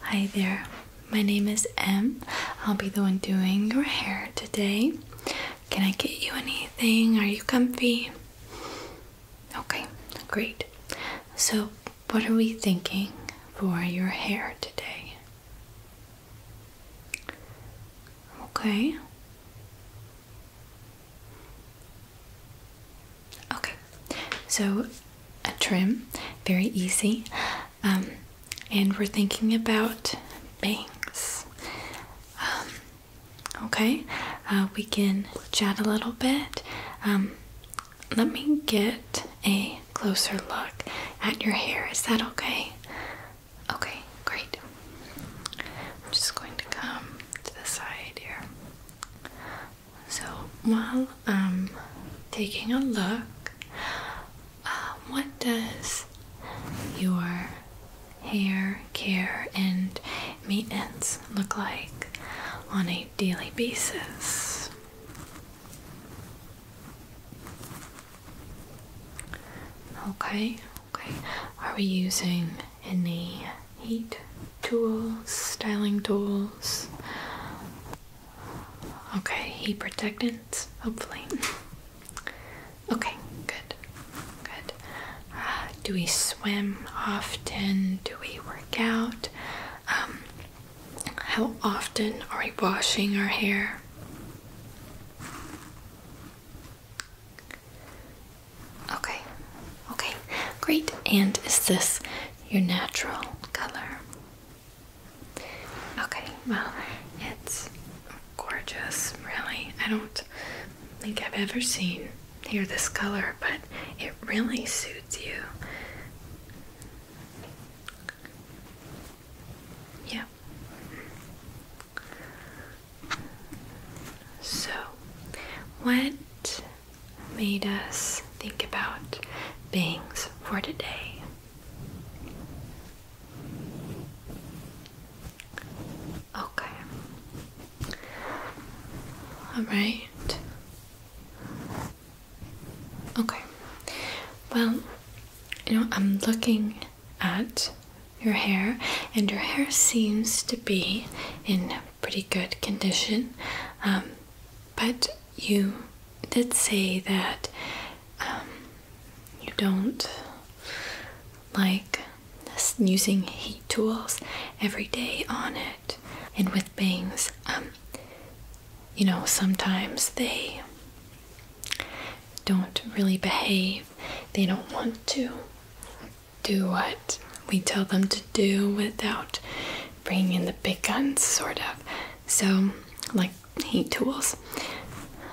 Hi there, my name is Em. I'll be the one doing your hair today. Can I get you anything? Are you comfy? Okay, great. So, what are we thinking for your hair today? Okay. Okay, so a trim, very easy. Um, and we're thinking about bangs. Um, okay, uh, we can chat a little bit. Um, let me get a closer look at your hair. Is that okay? Okay, great. I'm just going to come to the side here. So while I'm um, taking a look, uh, what does your hair care and maintenance look like on a daily basis? Okay, okay. Are we using any heat tools, styling tools. Okay, heat protectants, hopefully. Okay, good, good. Uh, do we swim often? Do we work out? Um, how often are we washing our hair? Okay, okay, great. And is this your natural color. Okay, well, it's gorgeous, really. I don't think I've ever seen here this color, but it really suits you. Yeah. So, what made us think about things for today. Okay. All right. Okay. Well, you know, I'm looking at your hair, and your hair seems to be in pretty good condition. Um, but you did say that um, you don't like using heat tools every day on it. And with bangs, um, you know, sometimes they don't really behave, they don't want to do what we tell them to do without bringing in the big guns, sort of. So, like heat tools.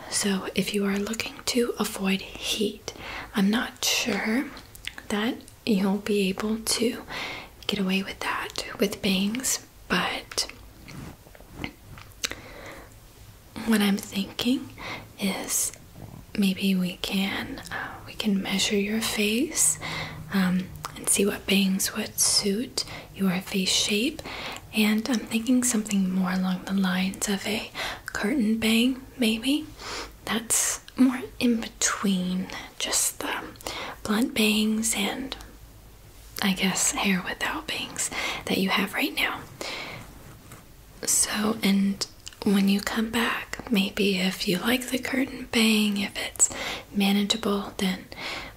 So, if you are looking to avoid heat, I'm not sure that you'll be able to get away with that with bangs, but what I'm thinking is maybe we can. Um, we can measure your face um, and see what bangs would suit your face shape. And I'm thinking something more along the lines of a curtain bang, maybe. That's more in between just the blunt bangs and I guess hair without bangs that you have right now. So, and when you come back, maybe if you like the curtain bang, if it manageable, then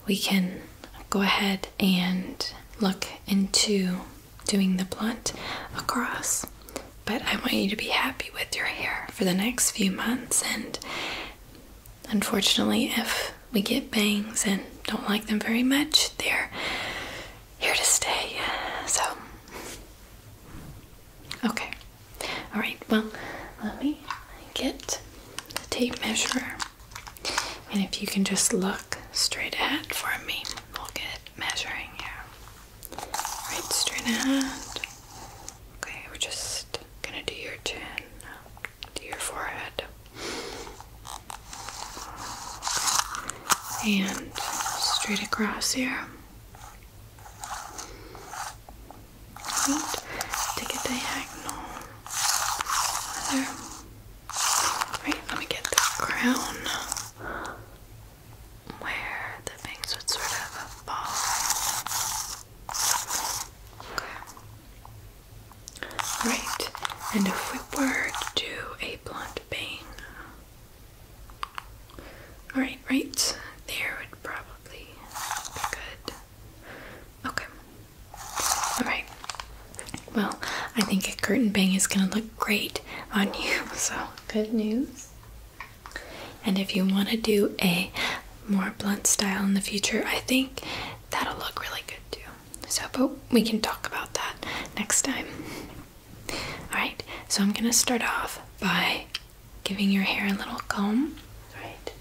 we can go ahead and look into doing the blunt across. But I want you to be happy with your hair for the next few months. And unfortunately, if we get bangs and don't like them very much, they're here to stay. So Okay. All right. Well, let me get the tape measure, and if you can just look straight ahead for me, we'll get measuring here. Right, straight ahead. Okay, we're just gonna do your chin, do your forehead, and straight across here right? Take a diagonal Right, let me get the crown where the bangs would sort of fall. Right, and if we were to do a blonde bang, all right, right there would probably be good. Okay. Alright. Well, I think a curtain bang is going to look great on you, so good news. And if you want to do a more blunt style in the future, I think that'll look really good too. So, but we can talk about that next time. Alright, so I'm going to start off by giving your hair a little comb, right?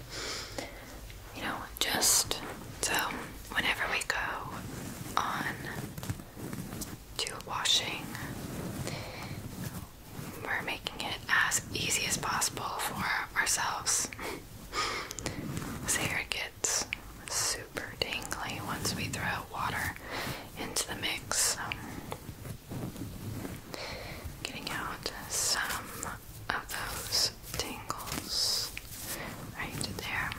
You know, just so whenever we go on to washing, we're making it as easy as possible for ourselves. this hair gets super dangly once we throw water into the mix. Um, Getting out some of those tingles right there.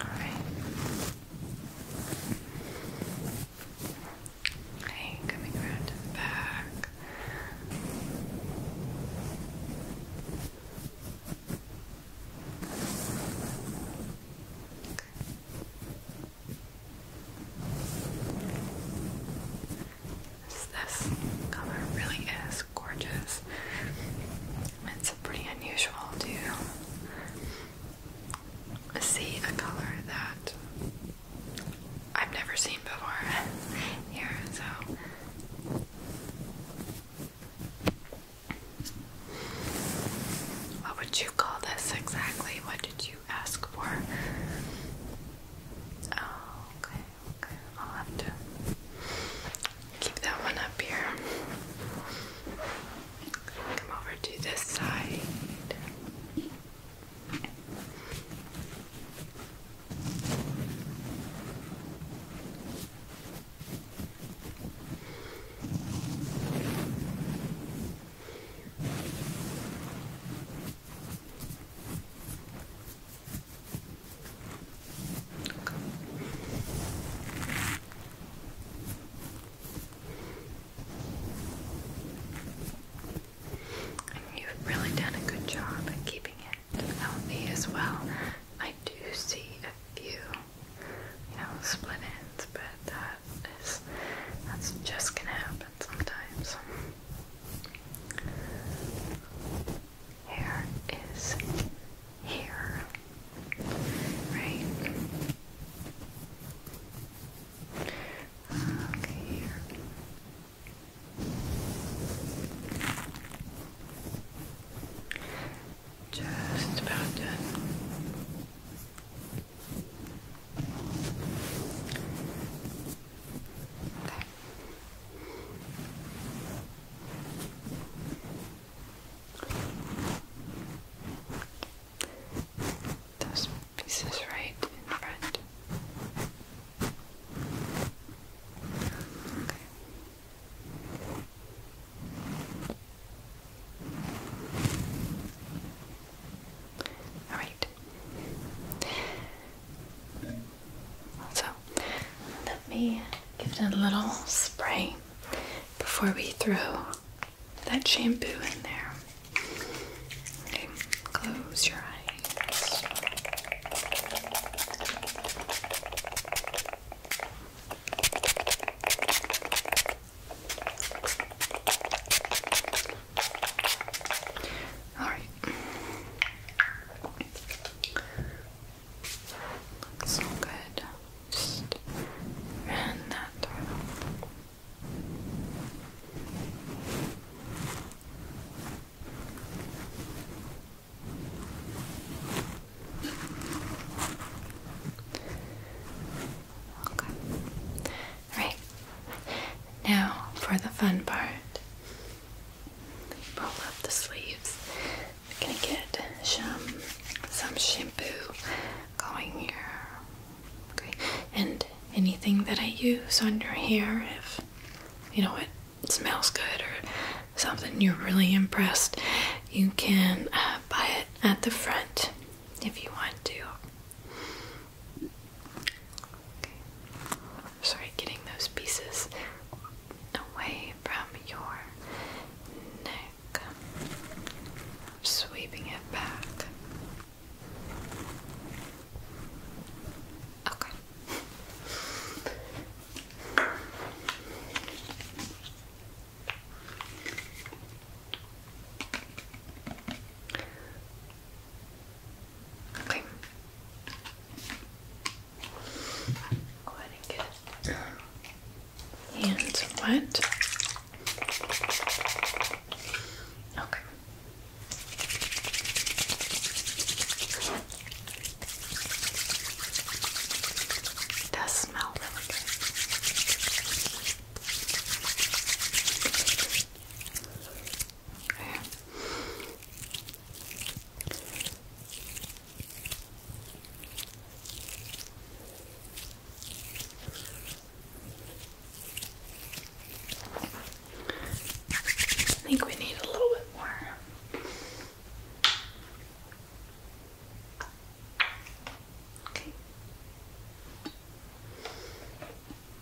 All right. Okay, coming around the back this color really is gorgeous. It's pretty unusual to see a color that I've never seen before here, so what would you call this exactly? What did you ask for? Oh, okay. I'll have to keep that one up here. Come over to this side you've really done a good job at keeping it healthy as well. I do see a few, you know, split ends, but that is that's just gonna happen sometimes hair is here, right? Okay, Just about done. Okay. Those pieces right in front. Okay. All right. So let me give it a little spray before we throw that shampoo in there. Okay, close your eyes. All right, so good. Just run that Okay. All right. Now for the fun part roll up the sleeves. gonna get some some shampoo going here. Okay, and anything that I use on your hair, if you know it smells good or something you're really impressed, you can uh, buy it at the front if you want to. Sorry, getting those pieces away from your neck. Sweeping it back. Okay. Okay. Go ahead and get it. Hands wet. Okay. does smell really good. Okay. I think we need a little bit more. Okay.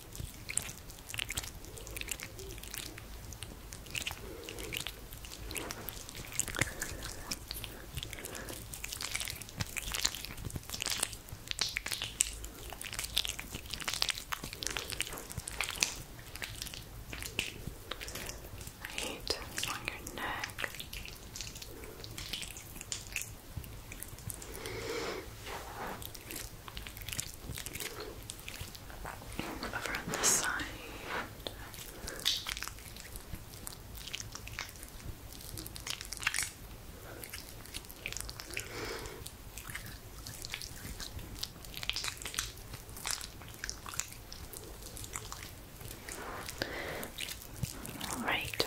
Right, along your neck. Over on this side. All right.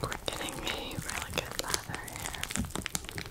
We're getting really good leather here.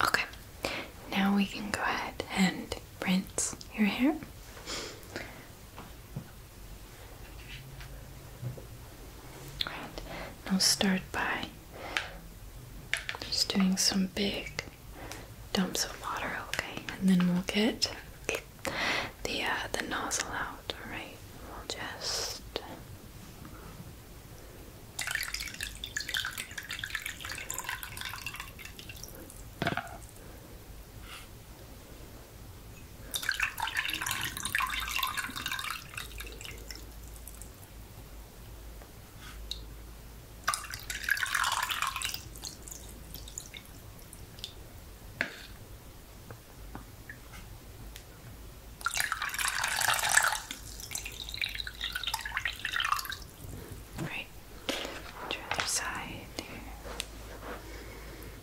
Okay, now we can go ahead and rinse your hair. Right, We'll start by just doing some big dumps of water, okay? And then we'll get the uh, the nozzle out. All right, we'll just. Right, to the other side here.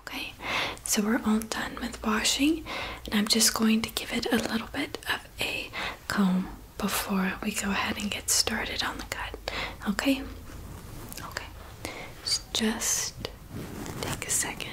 Okay, so we're all done with washing, and I'm just going to give it a little bit of a comb before we go ahead and get started on the cut. Okay, okay, just take a second.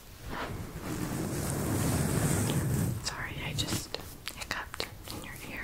Sorry, I just hiccuped in your ear.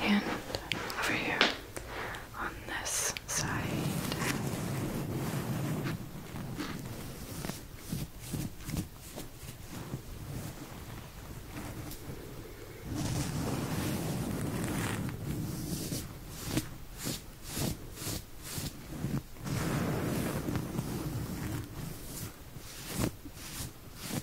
And over here on this side.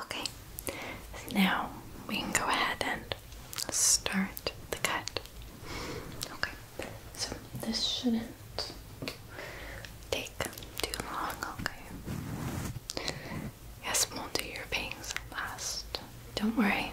Okay, now we can go ahead and start the cut. Okay, so this shouldn't take too long, okay? Yes, we'll do your bangs last. Don't worry.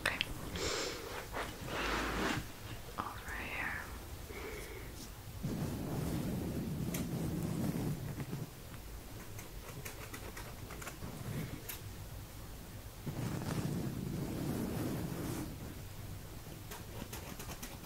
Okay. Over here. Okay.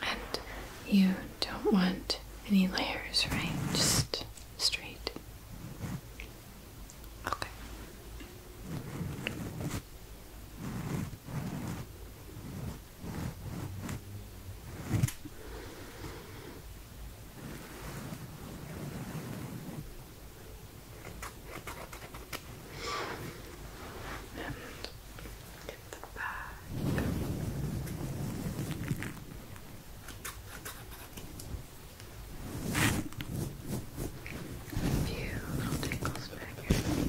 And you don't want any layers, right? Just straight. Okay and get the back. A few little tickles back here.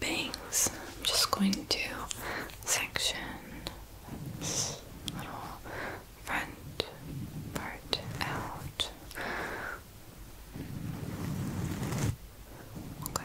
bangs, I'm just going to section this little front part out. Okay.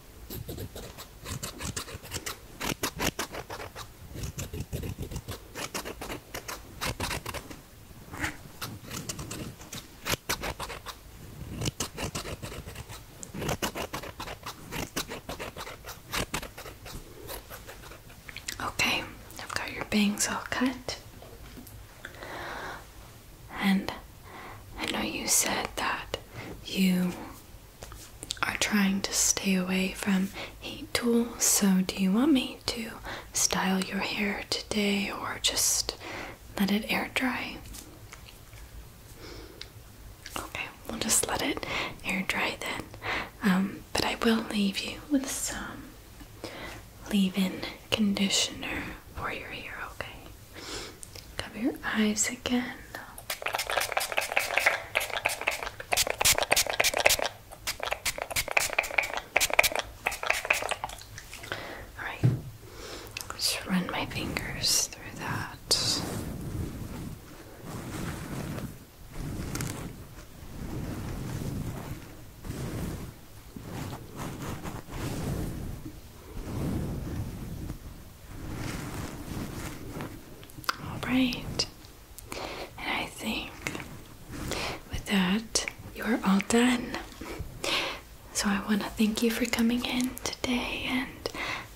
Okay, I've got your bangs all cut. And I know you said that you are trying to stay away from heat tools, so do you want me to style your hair today or just let it air dry? Okay, we'll just let it air dry then. Um, but I will leave you with some leave in conditioner for your hair, okay? Cover your eyes again. All right. Just run my fingers through that. All right. And I think with that, you're all done. So I want to thank you for coming in today, and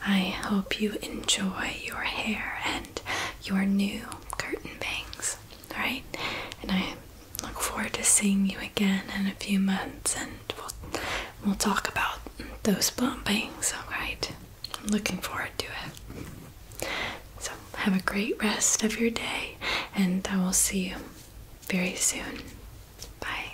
I hope you enjoy your hair and your new curtain bangs. All right. And I look forward to seeing you again in a few months, and we'll, we'll talk about those bump bangs. All right. I'm looking forward to it. So, have a great rest of your day, and I will see you very soon. Bye.